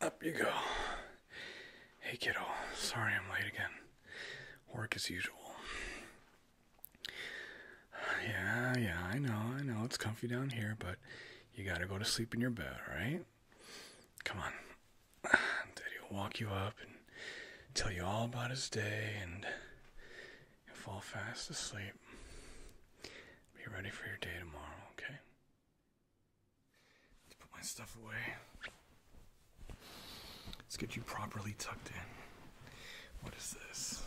Up you go. Hey, kiddo. Sorry I'm late again. Work as usual. Yeah, yeah, I know, I know. It's comfy down here, but you gotta go to sleep in your bed, all right? Come on. Daddy will walk you up and tell you all about his day, and you'll fall fast asleep. Be ready for your day tomorrow, okay? let put my stuff away. Let's get you properly tucked in. What is this?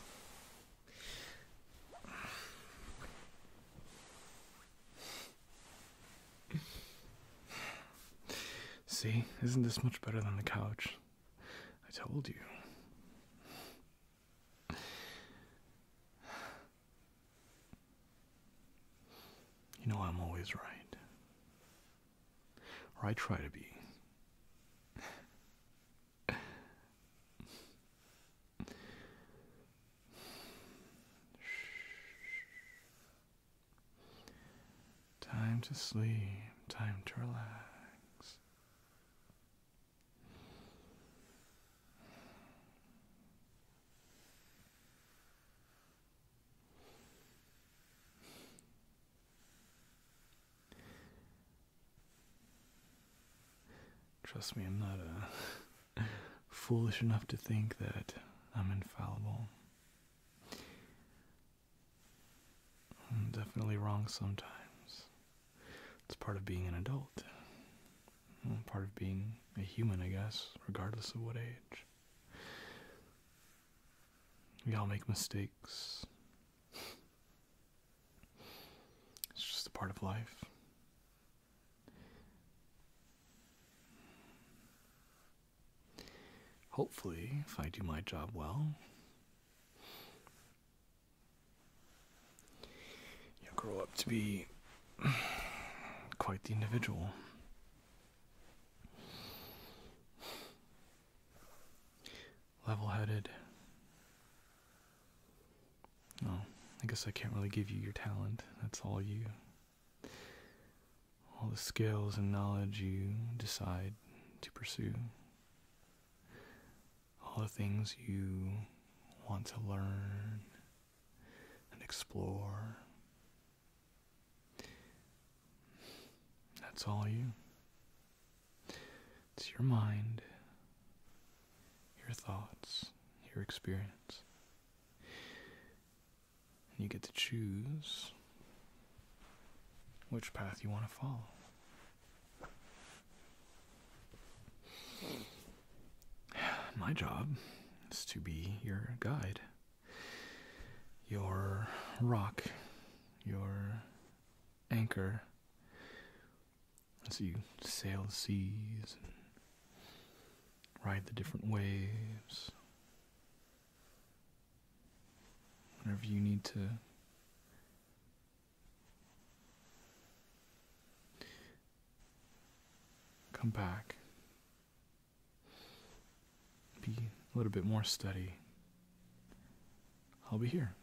See, isn't this much better than the couch? I told you. You know, I'm always right. Or I try to be. Time to sleep, time to relax. Trust me, I'm not uh, foolish enough to think that I'm infallible. I'm definitely wrong sometimes. It's part of being an adult. Mm, part of being a human, I guess, regardless of what age. We all make mistakes. It's just a part of life. Hopefully, if I do my job well, you grow up to be quite the individual. Level headed. No, I guess I can't really give you your talent. That's all you. All the skills and knowledge you decide to pursue. All the things you want to learn and explore. That's all you. It's your mind, your thoughts, your experience. And you get to choose which path you want to follow. My job is to be your guide, your rock, your anchor as you sail the seas and ride the different waves. Whenever you need to Come back. Be a little bit more steady. I'll be here.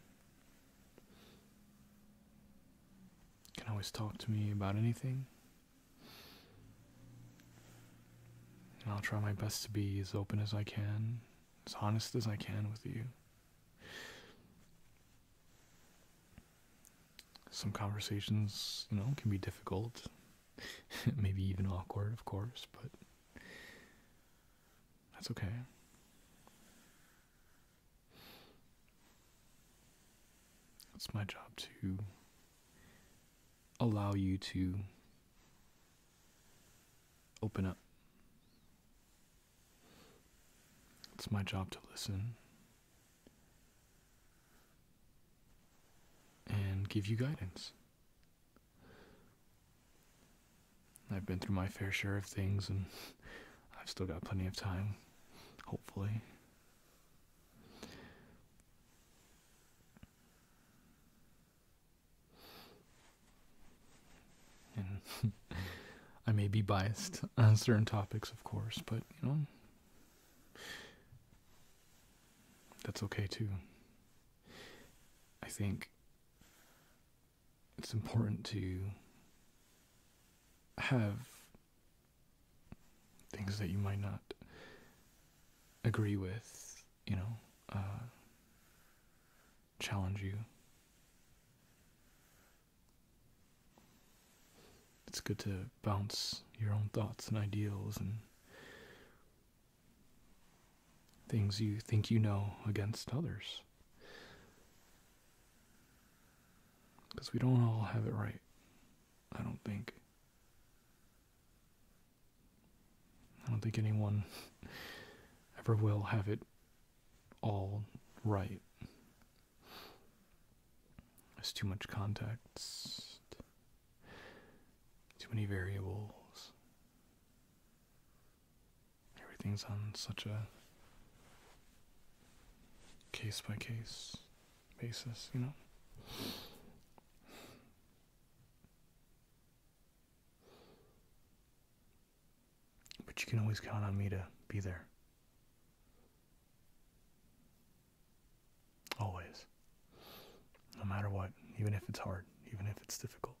can always talk to me about anything. I'll try my best to be as open as I can, as honest as I can with you some conversations, you know, can be difficult, maybe even awkward, of course, but that's okay. It's my job to allow you to open up. It's my job to listen and give you guidance. I've been through my fair share of things, and I've still got plenty of time, hopefully. I may be biased on certain topics, of course, but you know. That's okay too. I think it's important to have things that you might not agree with, you know, uh, challenge you. It's good to bounce your own thoughts and ideals and things you think you know against others. Because we don't all have it right, I don't think. I don't think anyone ever will have it all right. There's too much context, too many variables. Everything's on such a case by case basis, you know? But you can always count on me to be there Always. No matter what, even if it's hard, even if it's difficult.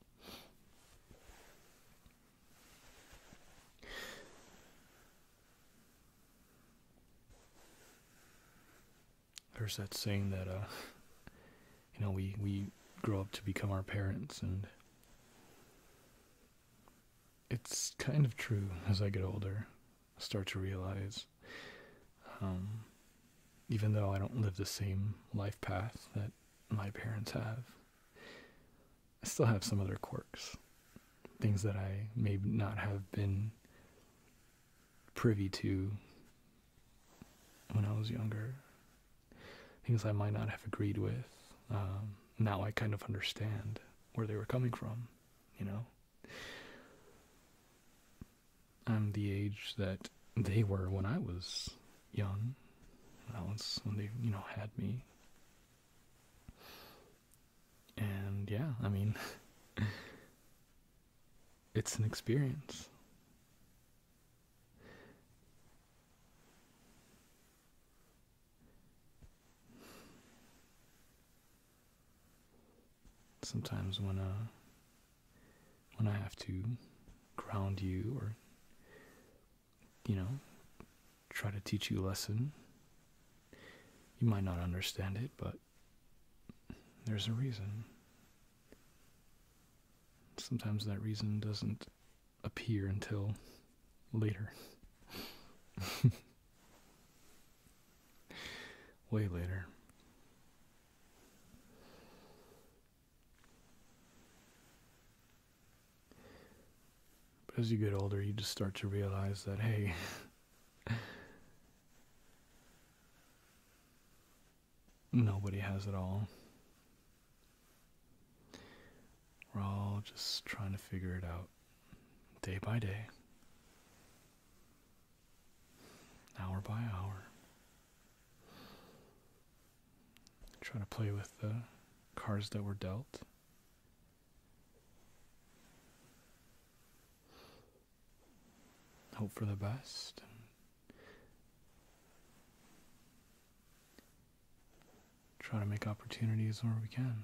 There's that saying that, uh, you know, we, we grow up to become our parents, and it's kind of true as I get older. start to realize, um, even though I don't live the same life path that my parents have, I still have some other quirks. Things that I may not have been privy to when I was younger. Things I might not have agreed with. Um, now I kind of understand where they were coming from you know? I'm the age that they were when I was young. That was when they, you know, had me. And yeah, I mean, it's an experience. Sometimes when uh, when I have to ground you or you know try to teach you a lesson, you might not understand it, but there's a reason. Sometimes that reason doesn't appear until later. Way later. But as you get older, you just start to realize that, hey, nobody has it all. We're all just trying to figure it out day by day, hour by hour. Trying to play with the cards that were dealt. Hope for the best. Try to make opportunities where we can.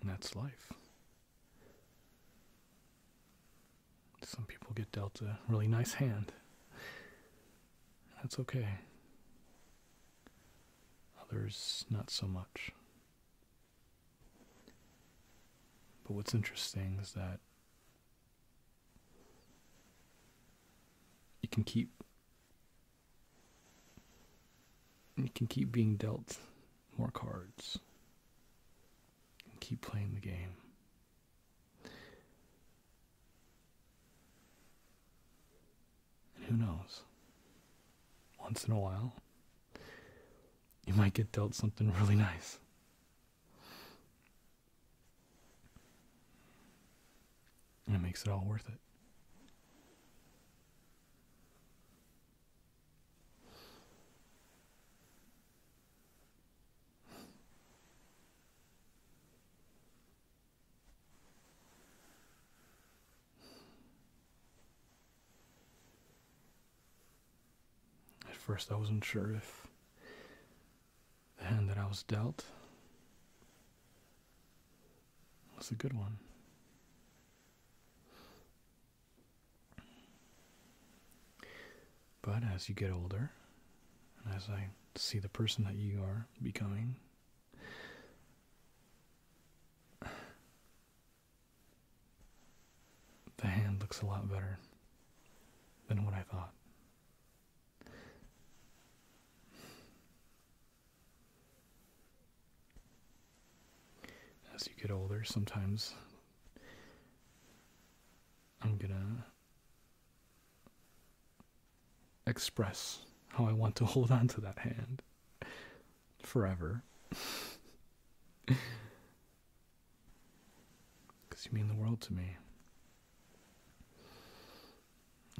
And that's life. Some people get dealt a really nice hand. That's okay. Others, not so much. But what's interesting is that you can keep you can keep being dealt more cards. And keep playing the game. And who knows? Once in a while, you might get dealt something really nice it makes it all worth it. At first, I wasn't sure if the hand that I was dealt was a good one. But as you get older, as I see the person that you are becoming, the hand looks a lot better than what I thought. As you get older, sometimes I'm gonna express how I want to hold on to that hand forever. Because you mean the world to me.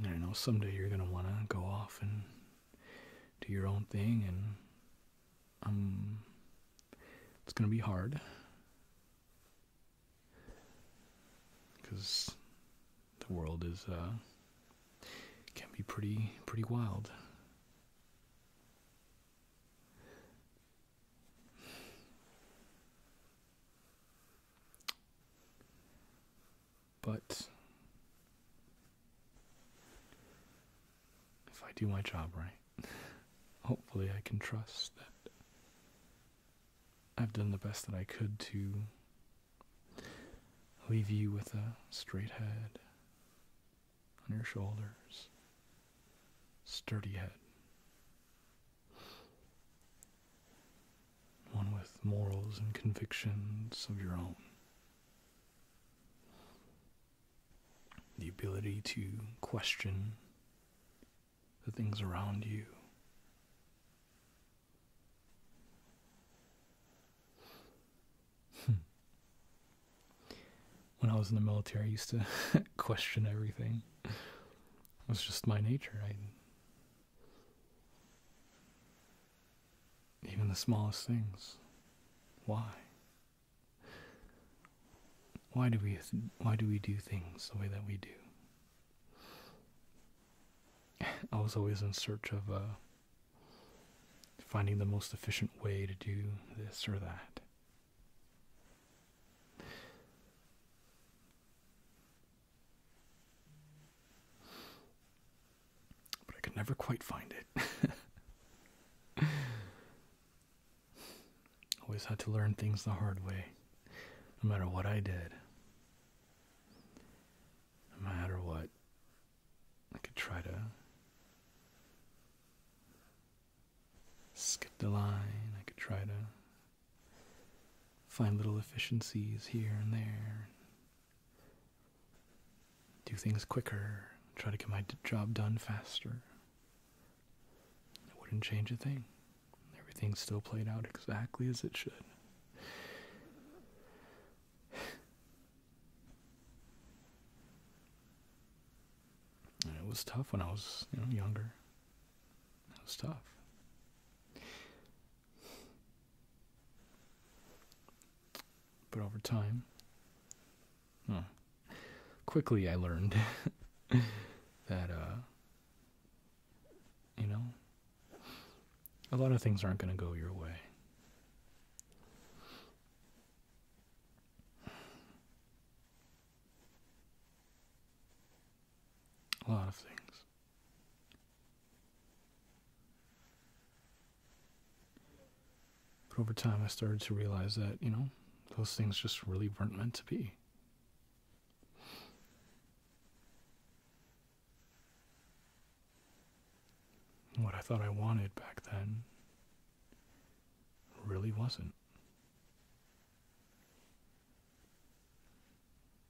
I know someday you're gonna wanna go off and do your own thing, and um, it's gonna be hard because the world is uh, can be pretty pretty wild. But if I do my job right, hopefully I can trust that I've done the best that I could to leave you with a straight head on your shoulders, sturdy head one with morals and convictions of your own. The ability to question the things around you. Hmm. when I was in the military, I used to question everything. It was just my nature. Even the smallest things. Why? Why do we why do we do things the way that we do? I was always in search of uh, finding the most efficient way to do this or that. But I could never quite find it. Always had to learn things the hard way, no matter what I did. No matter what, I could try to skip the line, I could try to find little efficiencies here and there, do things quicker, try to get my job done faster. I wouldn't change a thing. Everything still played out exactly as it should. it was tough when I was, younger. It was tough. But over time, hmm, quickly I learned that, uh, you know, a lot of things aren't going to go your way. A lot of things. But over time, I started to realize that, you know, those things just really weren't meant to be. What I thought I wanted back then really wasn't.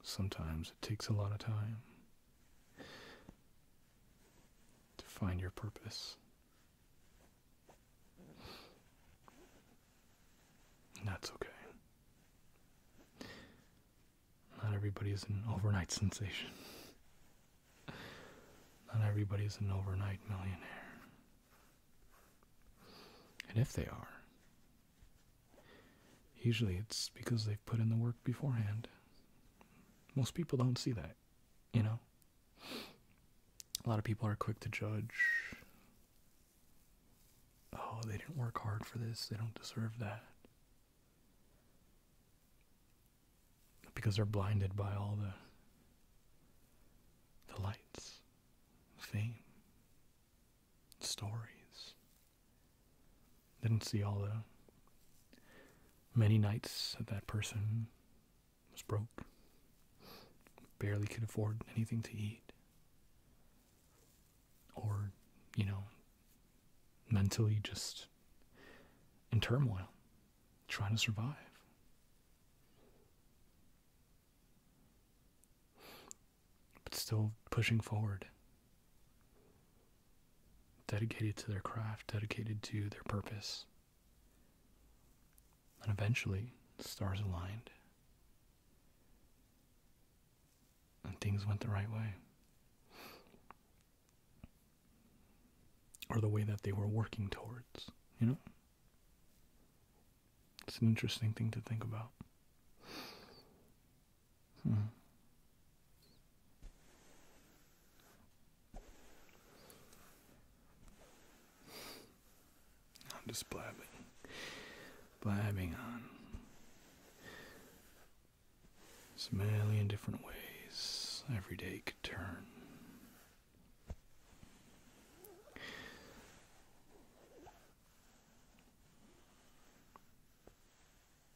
Sometimes it takes a lot of time to find your purpose. that's okay. Not everybody is an overnight sensation. Not everybody is an overnight millionaire. And if they are, Usually it's because they've put in the work beforehand. Most people don't see that, you know? A lot of people are quick to judge. Oh, they didn't work hard for this. They don't deserve that. Because they're blinded by all the the lights, fame, stories, didn't see all the many nights that that person was broke, barely could afford anything to eat, or, you know, mentally just in turmoil, trying to survive but still pushing forward, dedicated to their craft, dedicated to their purpose. And eventually, stars aligned. And things went the right way. Or the way that they were working towards, you know? It's an interesting thing to think about. I'm just blabbing, blabbing on so many different ways every day could turn.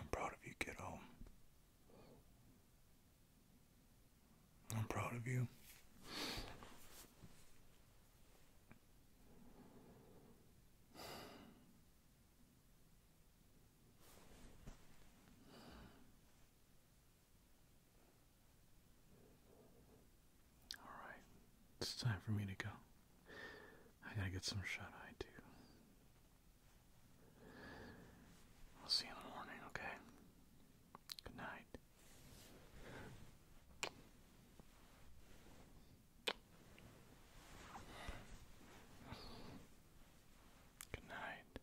I'm proud of you, kiddo. I'm proud of you. Alright, it's time for me to go. I gotta get some shut eye too. I'll see you in the morning, okay? Good night. Good night.